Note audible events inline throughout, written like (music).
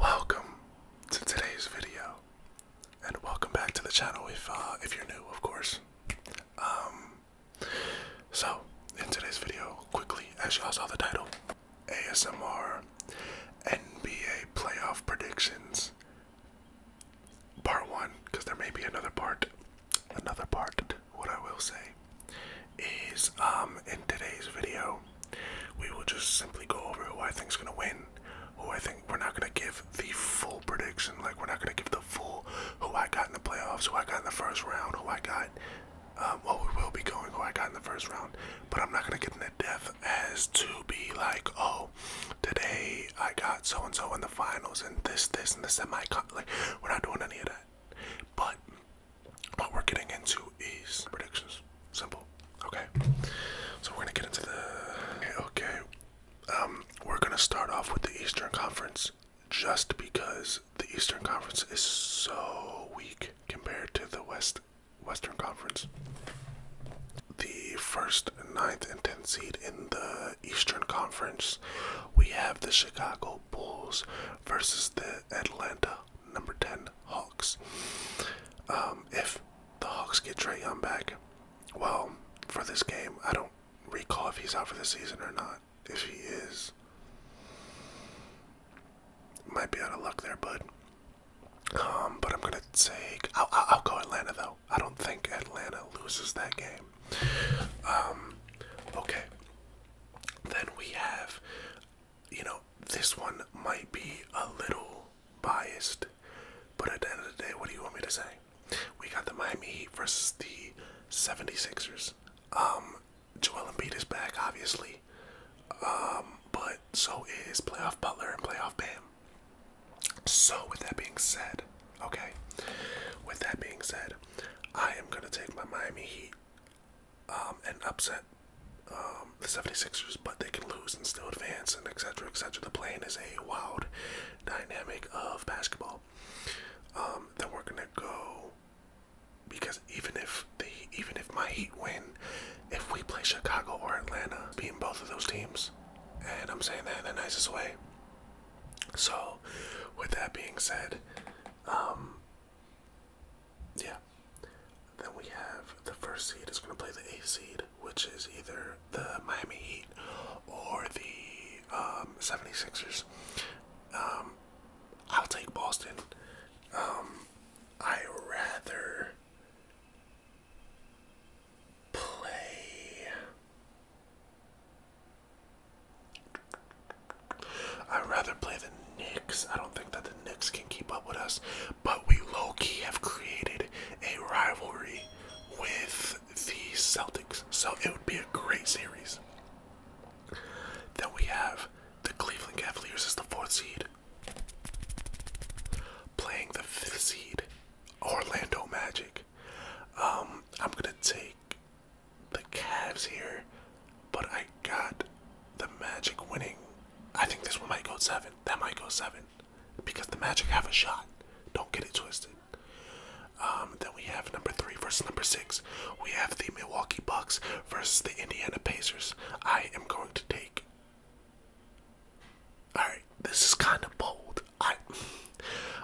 Welcome to today's video, and welcome back to the channel if uh, if you're new, of course. Um, so in today's video, quickly, as y'all saw the title, ASMR NBA playoff predictions part one, because there may be another part. Another part, what I will say, is um, in today's video, we will just simply go over who I think is going to win, who I think we're not going to give the full prediction, like we're not going to give the full who I got in the playoffs, who I got in the first round, who I got, um, well, we will be going who I got in the first round, but I'm not going to get into depth as to be like, oh, today I got so and so in the finals and this, this, and the semi. Like, we're not doing any of that. But what we're getting into is predictions. Simple. Okay. So we're gonna get into the. Okay. okay. Um, we're gonna start off with the Eastern Conference just because the Eastern Conference is so weak compared to the West Western Conference. The first, ninth, and tenth seed in the Eastern Conference, we have the Chicago Bulls versus the Atlanta number 10 Hawks. Um, if the Hawks get Trey Young back, well, for this game, I don't recall if he's out for the season or not. If he is, might be out of luck there, bud. Um, but I'm gonna take. I'll, I'll go Atlanta though. I don't think Atlanta loses that game. Um, okay. Then we have, you know, this one might be a little biased, but at the end of the day, what do you want me to say? We got the Miami Heat versus the 76ers. Um, Joel Embiid is back, obviously. Um, but so is Playoff Butler and Playoff Bam. So, with that being said, okay, with that being said, I am going to take my Miami Heat um, and upset um, the 76ers, but they can lose and still advance and et cetera, et cetera. The plane is a wild dynamic of basketball. Um, then we're going to go because even if the even if my Heat win, if we play Chicago or Atlanta, beating both of those teams, and I'm saying that in the nicest way, so, with that being said, um, yeah. Then we have the first seed is going to play the eighth seed, which is either the Miami Heat or the um, 76ers. Um, I'll take Boston. Um, I rather play. I'd rather play the Knicks. I don't think that the Knicks can keep up with us, but we low key have created a rivalry with the Celtics, so it would be a great series. Then we have the Cleveland Cavaliers as the fourth seed, playing the fifth seed, Orlando Magic. Um, I'm gonna take the Cavs here, but I got the Magic winning. I think this one might go seven. That might go seven because the Magic have a shot. Don't get it twisted. Um, then we have number three versus number six. We have the Milwaukee Bucks versus the Indiana Pacers. I am going to take all right, this is kind of bold. I,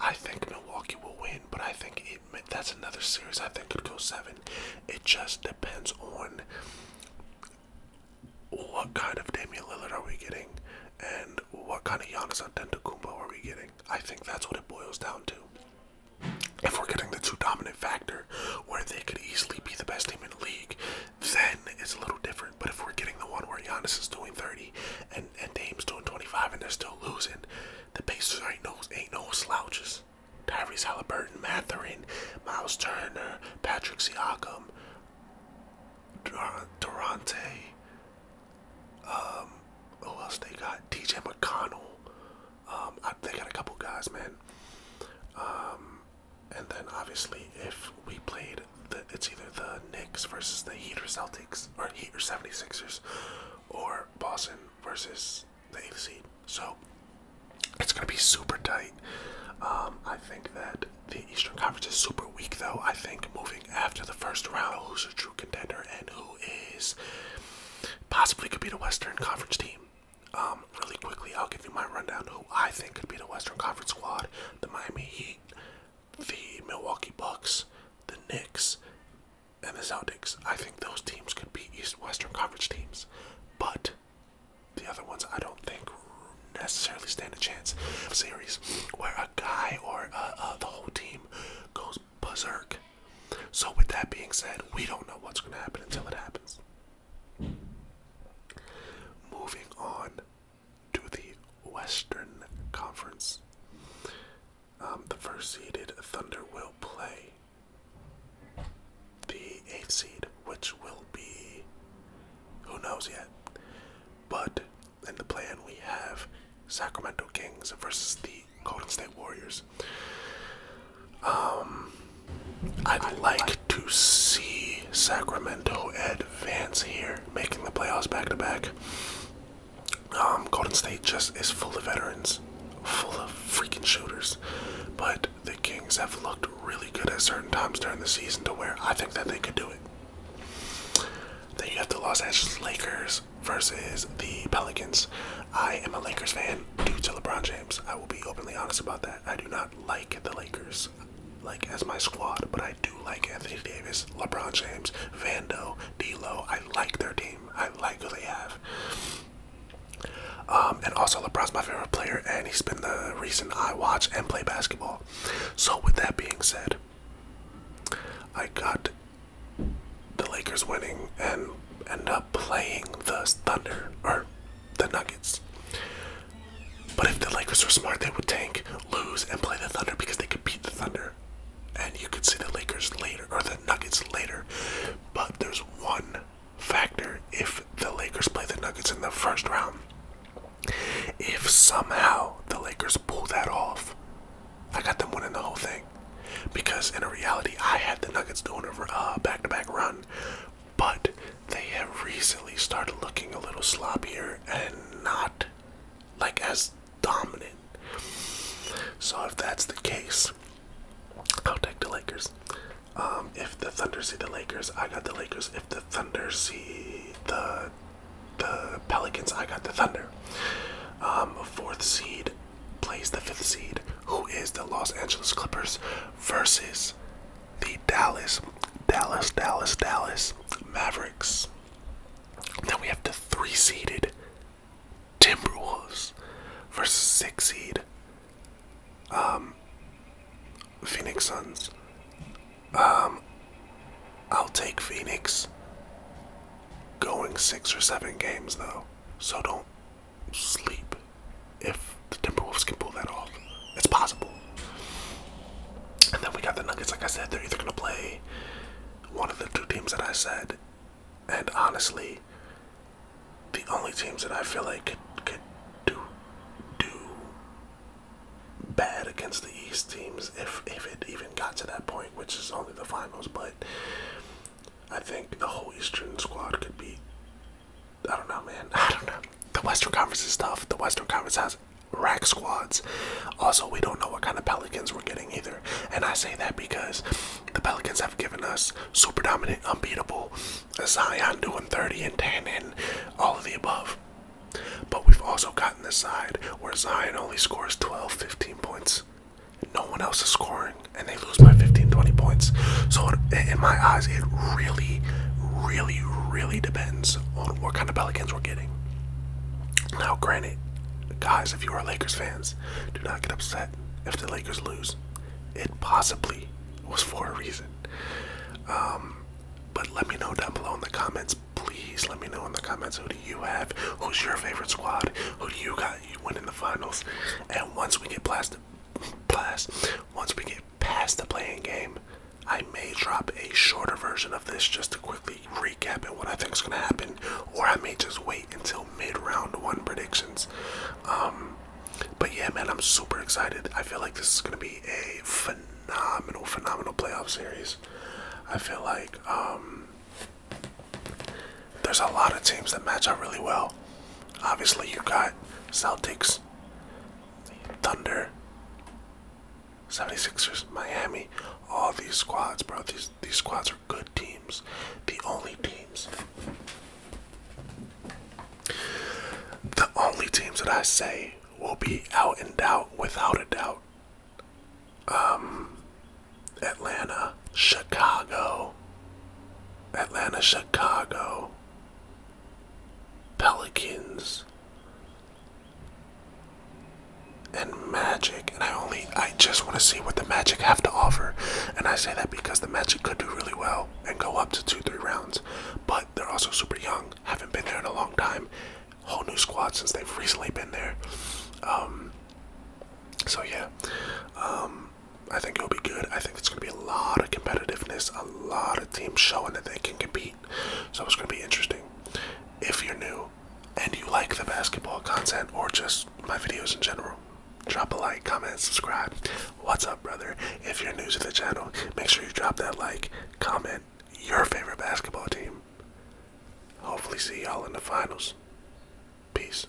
I think Milwaukee will win, but I think it, that's another series. I think could go seven. It just depends on what kind of Damian Lillard are we getting, and what kind of Giannis Antetokounmpo are we getting. I think that's what it boils down to. If we're getting the two dominant factor, where they could easily be the best team in the league, then it's a little different. But if we're getting the one where Giannis is doing 30 and, and Dame's doing 25 and they're still losing, the Pacers ain't no, ain't no slouches. Tyrese Halliburton, Matherin, Miles Turner, Patrick Siakam, Dur uh, Durante, um, who else they got? TJ McConnell. Um, they got a couple guys, man. Um, and then obviously, if we played it's either the Knicks versus the Heat or Celtics, or Heat or 76ers, or Boston versus the 8th seed. So it's going to be super tight. Um, I think that the Eastern Conference is super weak, though. I think moving after the first round, who's a true contender and who is possibly could be the Western Conference team. Um, really quickly, I'll give you my rundown who I think could be the Western Conference squad the Miami Heat, the Milwaukee Bucks, the Knicks, and the Celtics. I think those teams could be East Western Conference teams, but the other ones I don't think necessarily stand a chance. of series where a guy or uh, uh, the whole team goes berserk. So, with that being said, we don't know what's going to happen until it happens. Moving on to the Western Conference. Um, the first seeded Thunder will play the eighth seed, which will be who knows yet. But in the plan, we have Sacramento Kings versus the Golden State Warriors. Um, I'd, like to see Sacramento advance here making the playoffs back to back. Um, Golden State just is full of veterans, full of freaking shooters. But the Kings have looked really good at certain times during the season to where I think that they could do it. Then you have the Los Angeles Lakers versus the Pelicans. I am a Lakers fan due to LeBron James. I will be openly honest about that. I do not like the Lakers like as my squad, but I do like Anthony Davis, LeBron James, Vando, D'Lo. I like their team. I like who they have. Um, and also, LeBron's my favorite player, and he's been the reason I watch and play basketball. So, with that being said, I got the Lakers winning and end up playing the Thunder or the Nuggets. But if the Lakers were smart, they would tank, lose, and play the Thunder because they could beat the Thunder. And you could see the Lakers later, or the Nuggets later. But there's one factor if the Lakers play the Nuggets in the first round. If somehow the Lakers pull that off, I got them winning the whole thing. Because in reality, I had the Nuggets doing a back to back run but they have recently started looking a little sloppier and not like as dominant. So if that's the case, I'll take the Lakers. Um, if the Thunder see the Lakers, I got the Lakers. If the Thunder see the the Pelicans, I got the Thunder. Um, fourth seed plays the fifth seed, who is the Los Angeles Clippers, versus the Dallas, Dallas, Dallas, Dallas Mavericks. Then we have the three seeded Timberwolves versus six seed um, Phoenix Suns. Um, I'll take Phoenix going six or seven games though, so don't sleep if the Timberwolves can pull that off. It's possible. And then we got the Nuggets. Like I said, they're either going to play one of the two teams that I said. And honestly, the only teams that I feel like could, could do do bad against the East teams, if if it even got to that point, which is only the finals. But I think the whole Eastern squad could be I don't know, man. (laughs) I don't know. The Western Conference is tough. The Western Conference has rack squads. Also, we don't know what kind of Pelicans we're getting either. And I say that because the Pelicans have given us super dominant, unbeatable Zion doing 30 and 10 and all of the above. But we've also gotten this side where Zion only scores 12, 15 points. No one else is scoring, and they lose by 15, 20 points. So, in my eyes, it really, really really, depends on what kind of Pelicans we're getting. Now, granted, guys, if you are Lakers fans, do not get upset if the Lakers lose. It possibly was for a reason. Um, but let me know down below in the comments. Please let me know in the comments who do you have? Who's your favorite squad? Who do you got you win in the finals? And once we get blasted, blast, once we get past the playing game, I may drop a shorter version of this just to quickly recap and what I think is going to happen, or I may just wait until mid round one predictions. Um, but yeah, man, I'm super excited. I feel like this is going to be a phenomenal, phenomenal playoff series. I feel like um, there's a lot of teams that match up really well. Obviously, you got Celtics, Thunder, 76ers, Miami, all these squads, bro. These these squads are good teams. The only teams. The only teams that I say will be out and out, without a doubt. Um Atlanta, Chicago. Atlanta, Chicago pelicans and magic and i only i just want to see what the magic have to offer and i say that because the magic could do really well and go up to two three rounds but they're also super young haven't been there in a long time whole new squad since they've recently been there um, so yeah um, I think it'll be good. I think it's going to be a lot of competitiveness, a lot of teams showing that they can compete. So it's going to be interesting. If you're new and you like the basketball content or just my videos in general, drop a like, comment, subscribe. What's up, brother? If you're new to the channel, make sure you drop that like, comment your favorite basketball team. Hopefully, see y'all in the finals. Peace.